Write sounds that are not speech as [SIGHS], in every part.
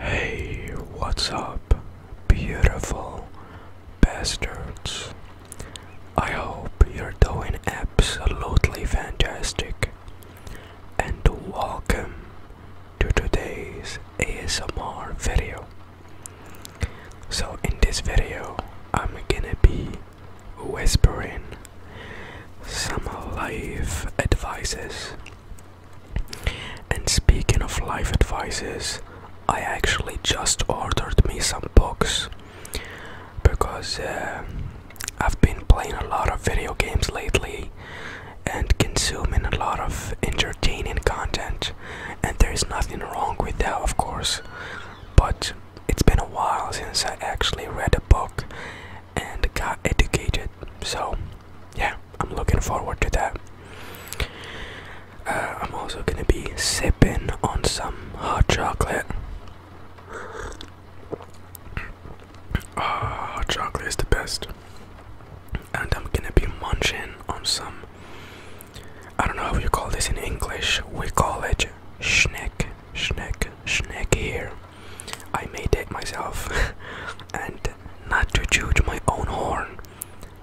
Hey, what's up, beautiful bastards? I hope you're doing absolutely fantastic. And welcome to today's ASMR video. So, in this video, I'm gonna be whispering some life advices and speaking of life advices, I actually just ordered me some books because uh, I've been playing a lot of video games lately and consuming a lot of entertaining content, and there's nothing wrong with that, of course. But it's been a while since I actually read a book and got educated, so yeah, I'm looking forward to that. Uh, I'm also gonna be sipping on some hot chocolate. Oh, hot chocolate is the best. And I'm gonna be munching on some. I don't know how you call this in English. We call it schneck, schneck, schneck here. I made it myself, [LAUGHS] and not to judge my own horn,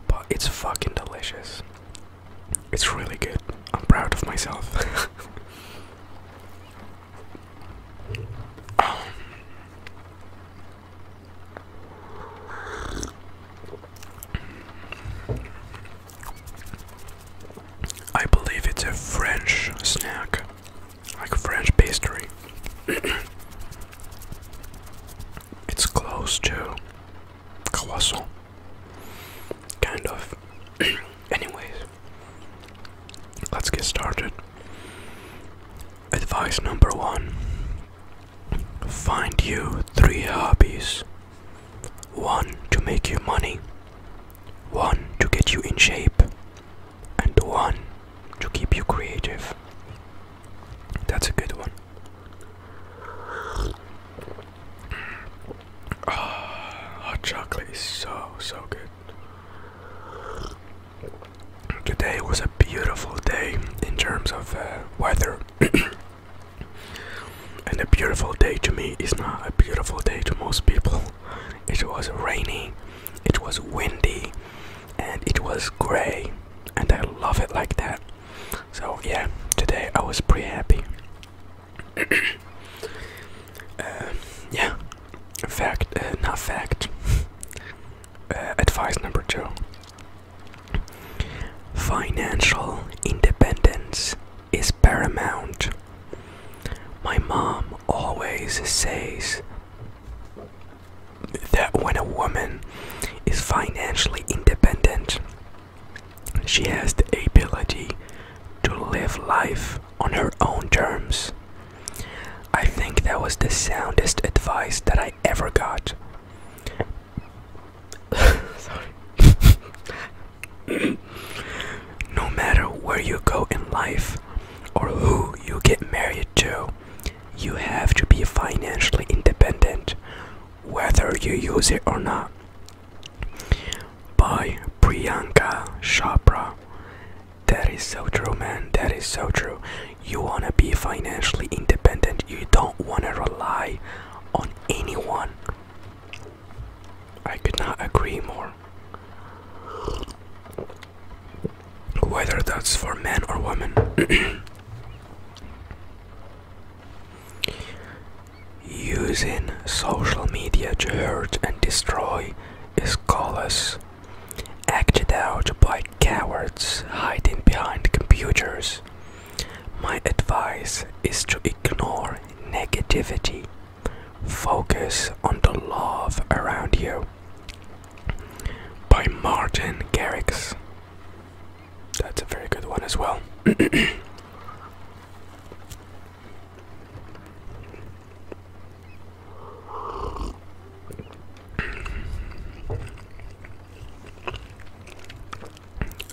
but it's fucking delicious. It's really good. I'm proud of myself. [LAUGHS] I believe it's a French snack like French pastry. [CLEARS THROAT] it's close to colossal, kind of. [CLEARS THROAT] Anyways, let's get started. Advice number one Find you three hobbies one to make you money, one to get you in shape, and one to keep you creative. That's a good one. [SIGHS] Ah, hot chocolate is so, so good. Today was a beautiful day in terms of uh, weather. [COUGHS] and a beautiful day to me is not a beautiful day to most people. It was rainy, it was windy, and it was gray and I love it like that. So yeah, today I was pretty happy. [COUGHS] uh, yeah, fact, uh, not fact. [LAUGHS] Uh, advice number two financial independence is paramount. My mom always says that when a woman is financially independent, she has the ability to live life on her own terms. I think that was the soundest advice that I ever got. [LAUGHS] [COUGHS] no matter where you go in life or who you get married to, you have to be financially independent, whether you use it or not. By Priyanka Chopra. That is so true, man. That is so true. You want to be financially independent, you don't want to rely on anyone. I could not agree more whether that's for men or women. [CLEARS THROAT] Using social media to hurt and destroy is callous, acted out by cowards hiding behind computers. My advice is to ignore negativity, focus on the love around you, by Martin Garrix. That's a very good one as well. [CLEARS THROAT]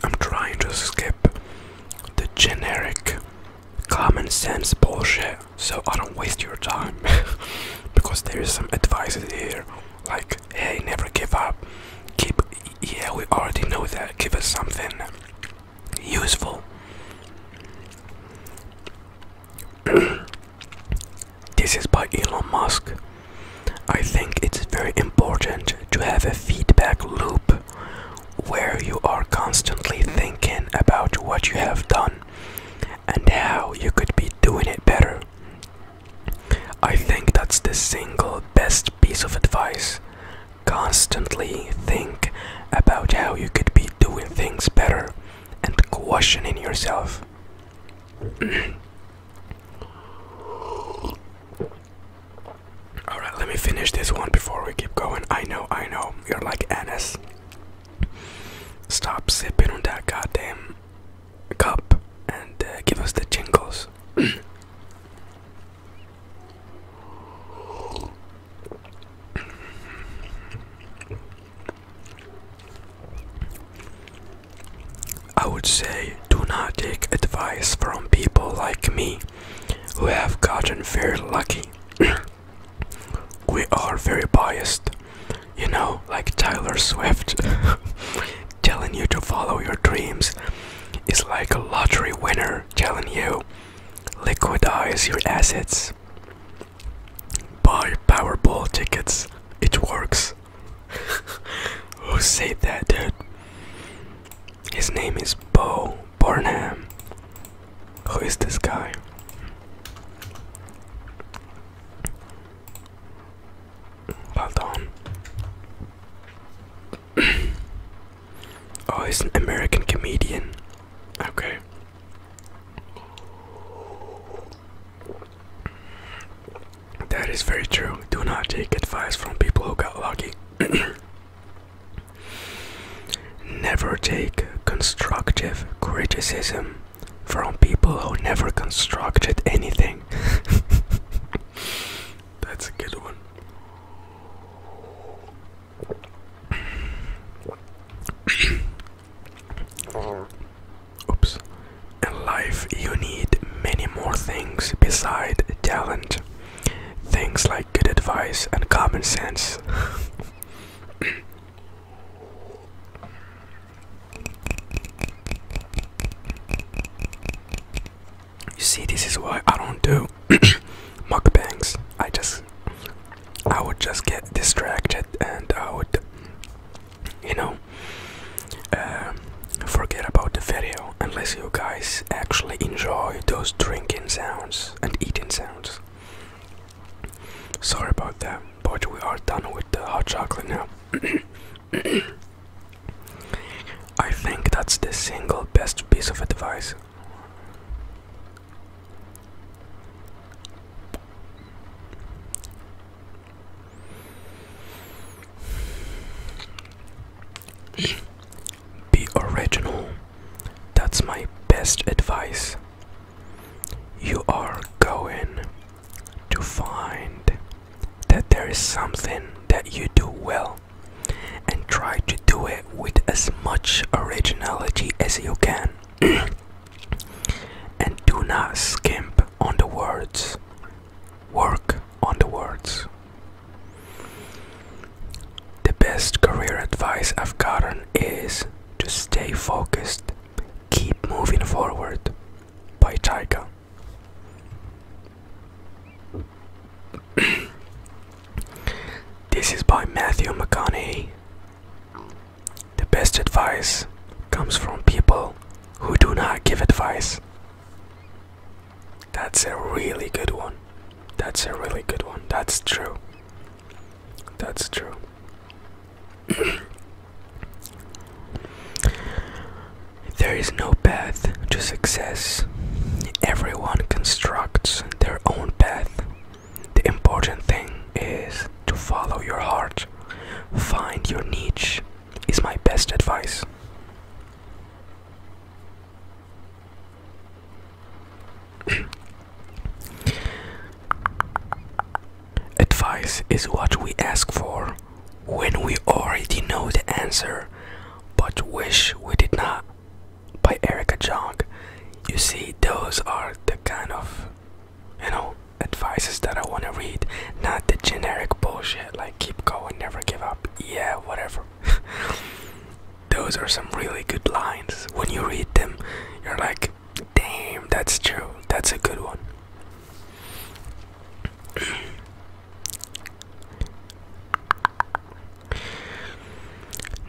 I'm trying to skip the generic common sense bullshit so I don't waste your time [LAUGHS] because there is some advice here like hey never give up keep yeah we already know that give us something useful [CLEARS THROAT] this is by Elon Musk I think it's very important to have a feedback loop where you are constantly thinking about what you have done and how you could be doing it better. I think that's the single best piece of advice. Constantly think about how you could be doing things better and questioning yourself. [CLEARS THROAT] Alright, let me finish this one before we keep going. I know, I know, you're like Anas. Stop sipping on that goddamn cup and uh, give us the jingles. [CLEARS THROAT] I would say do not take advice from people like me who have gotten very lucky [CLEARS THROAT] we are very biased. You know, like Tyler Swift [LAUGHS] telling you to follow your dreams is like a lottery winner telling you liquidize your assets. Buy Powerball tickets. It works. [LAUGHS] Who said that, dude? His name is Bo Barnham. Who is this guy? Pardon. oh, he's an American comedian. Okay. That is very true. Do not take advice from people who got lucky. [COUGHS] Never take constructive criticism from people who never constructed anything. [LAUGHS] That's a good one. [COUGHS] Oops. In life, you need many more things besides talent. Things like good advice and common sense. [COUGHS] [COUGHS] You see, this is why I don't do [COUGHS] mukbangs. I just, I would just get distracted and I would, you know, uh, forget about the video unless you guys actually enjoy those drinking sounds and eating sounds. Sorry about that, but we are done with the hot chocolate now. [COUGHS] I think that's the single best piece of advice. [COUGHS] Be original. That's my best advice. You are going to find that there is something that you do well and try to do it with as much originality as you can. [CLEARS THROAT] and do not skimp on the words. Work on the words. The best career advice I've gotten is to stay focused Keep Moving Forward by Chaika. [CLEARS THROAT] this is by Matthew McConaughey. The best advice comes from people who do not give advice. That's a really good one. That's a really good one. That's true. That's true. [COUGHS] there is no path to success. Everyone constructs their own path. The important thing is to follow your heart. Find your niche, is my best advice. Advice is what we ask for when we already know the answer but wish we did not. By Erica Jong. You see, those are the kind of you know advices that I want to read, not the generic bullshit like keep going, never give up, yeah, whatever. [LAUGHS] those are some really good lines. When you read them, you're like, Damn, that's true. That's a good one.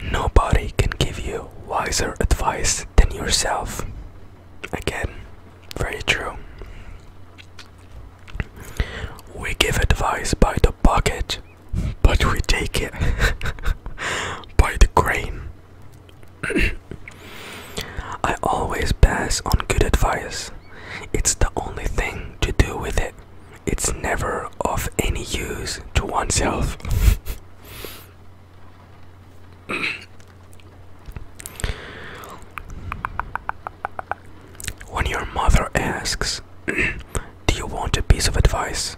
[CLEARS THROAT] Nobody can give you wiser advice than yourself. Again, very true. We give advice by the bucket, [LAUGHS] but we take it [LAUGHS] by the grain. [COUGHS] I always pass on good advice. It's the only thing to do with it. It's never of any use to oneself. [COUGHS] when your mother asks, [COUGHS] Do you want a piece of advice?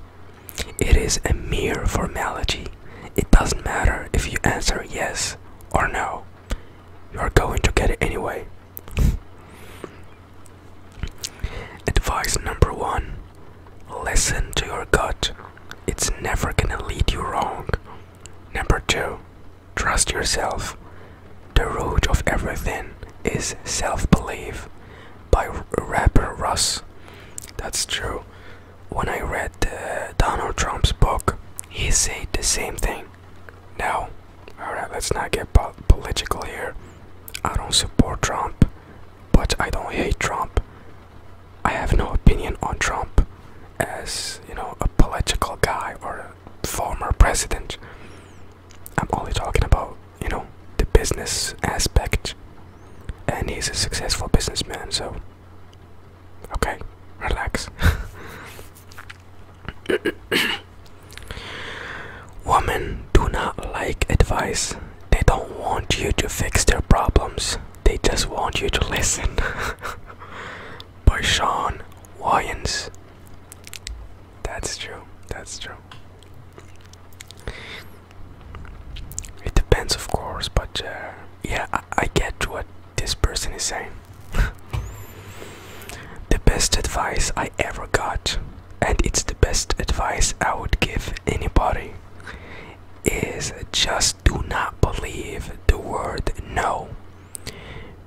It is a mere formality. It doesn't matter if you answer yes or no. You are going to get it anyway. [LAUGHS] Advice number one listen to your gut, it's never gonna lead you wrong. Number two, trust yourself. The root of everything is self belief by rapper Russ. That's true when I read uh, Donald Trump's book, he said the same thing. Now, alright, let's not get political here. I don't support Trump, but I don't hate Trump. I have no opinion on Trump as, you know, a political guy or a former president. I'm only talking about, you know, the business aspect. And he's a successful businessman, so Okay, relax. Women do not like advice. They don't want you to fix their problems. They just want you to listen. [LAUGHS] By Sean Wyans. That's true. That's true. It depends, of course, but uh, yeah, I get what this person is saying. [LAUGHS] the best advice I ever got, and it's the best advice I would give anybody, is just do not believe the word no.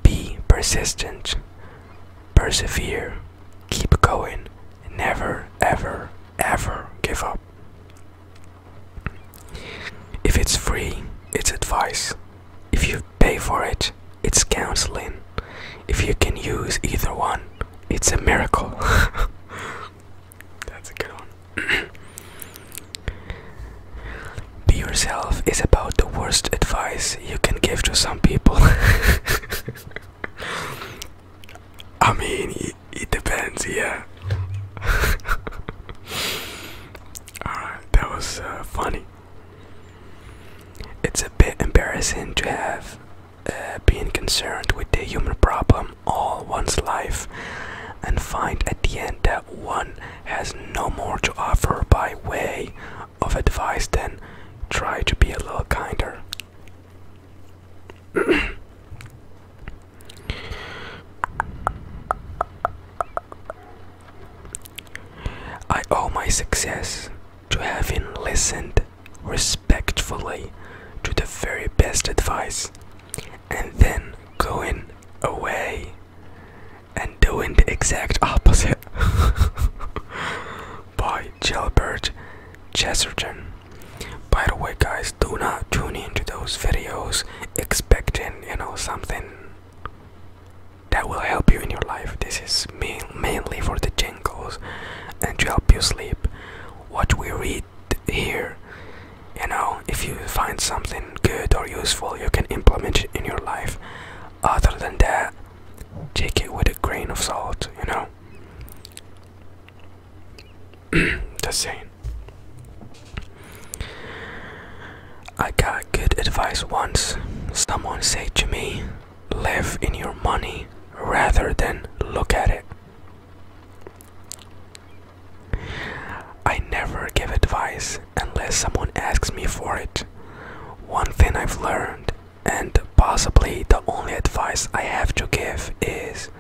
Be persistent, persevere, keep going, never, ever, ever give up. If it's free, it's advice. If you pay for it, it's counseling. If you can use either one, it's a miracle. [LAUGHS] That's a good one. [CLEARS THROAT] Be yourself is about the worst advice you can give to some people. [LAUGHS] I mean, it, depends, yeah. [LAUGHS] Alright, that was uh, funny. It's a bit embarrassing to have uh, been concerned with the human problem all one's life and find at the end that one has no more to offer by way of advice than try to be a little kinder. [CLEARS THROAT] I owe my success to having listened respectfully to the very best advice and then going away and doing the exact opposite [LAUGHS] by Gilbert Chesterton. By the way, guys, do not tune into those videos expecting, you know, something that will help you in your life. This is mainly for the jingles and to help you sleep. What we read here, you know, if you find something good or useful, you can implement it in your life. Other than that, take it with a grain of salt, you know. The [CLEARS THROAT] same. I got good advice once. Someone said to me, live in your money rather than look at it. I never give advice unless someone asks me for it. One thing I've learned, and possibly the only advice I have to give, is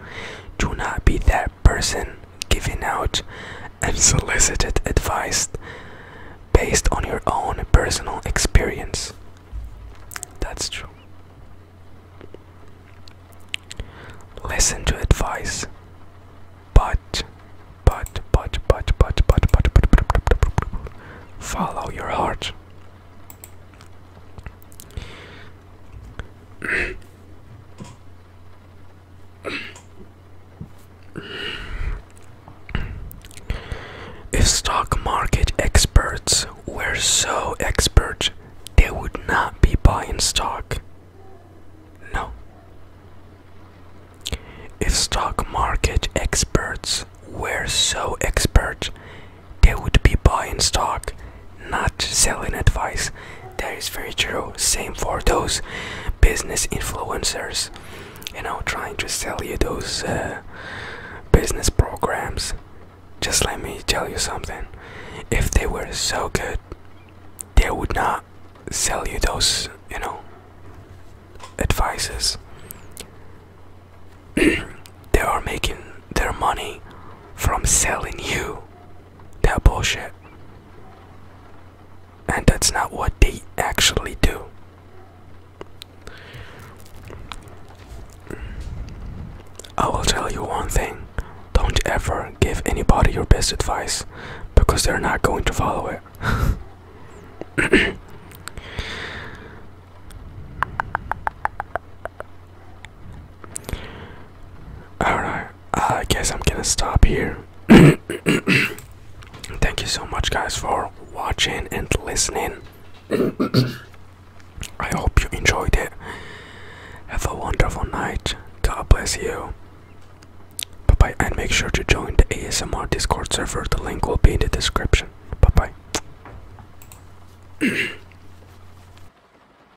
do not be that person giving out unsolicited advice based on your own personal experience. That's true. Listen to advice, but, but, but, but, but, but, but, but, but, but, but, but follow your heart. If stock market experts were so expert, they would not be buying stock. No. If stock market experts were so expert, they would be buying stock not selling advice. That is very true. Same for those business influencers, you know, trying to sell you those uh, business programs. Just let me tell you something. If they were so good, they would not sell you those, you know, advices. [CLEARS THROAT] they are making their money from selling you that bullshit. And that's not what they actually do. I will tell you one thing don't ever give anybody your best advice because they're not going to follow it. [CLEARS THROAT] Alright, uh, I guess I'm gonna stop here. [COUGHS] Thank you so much, guys, for watching and listening. [COUGHS] I hope you enjoyed it. Have a wonderful night. God bless you. Bye bye, and make sure to join the ASMR Discord server. The link will be in the description. Bye bye. [COUGHS]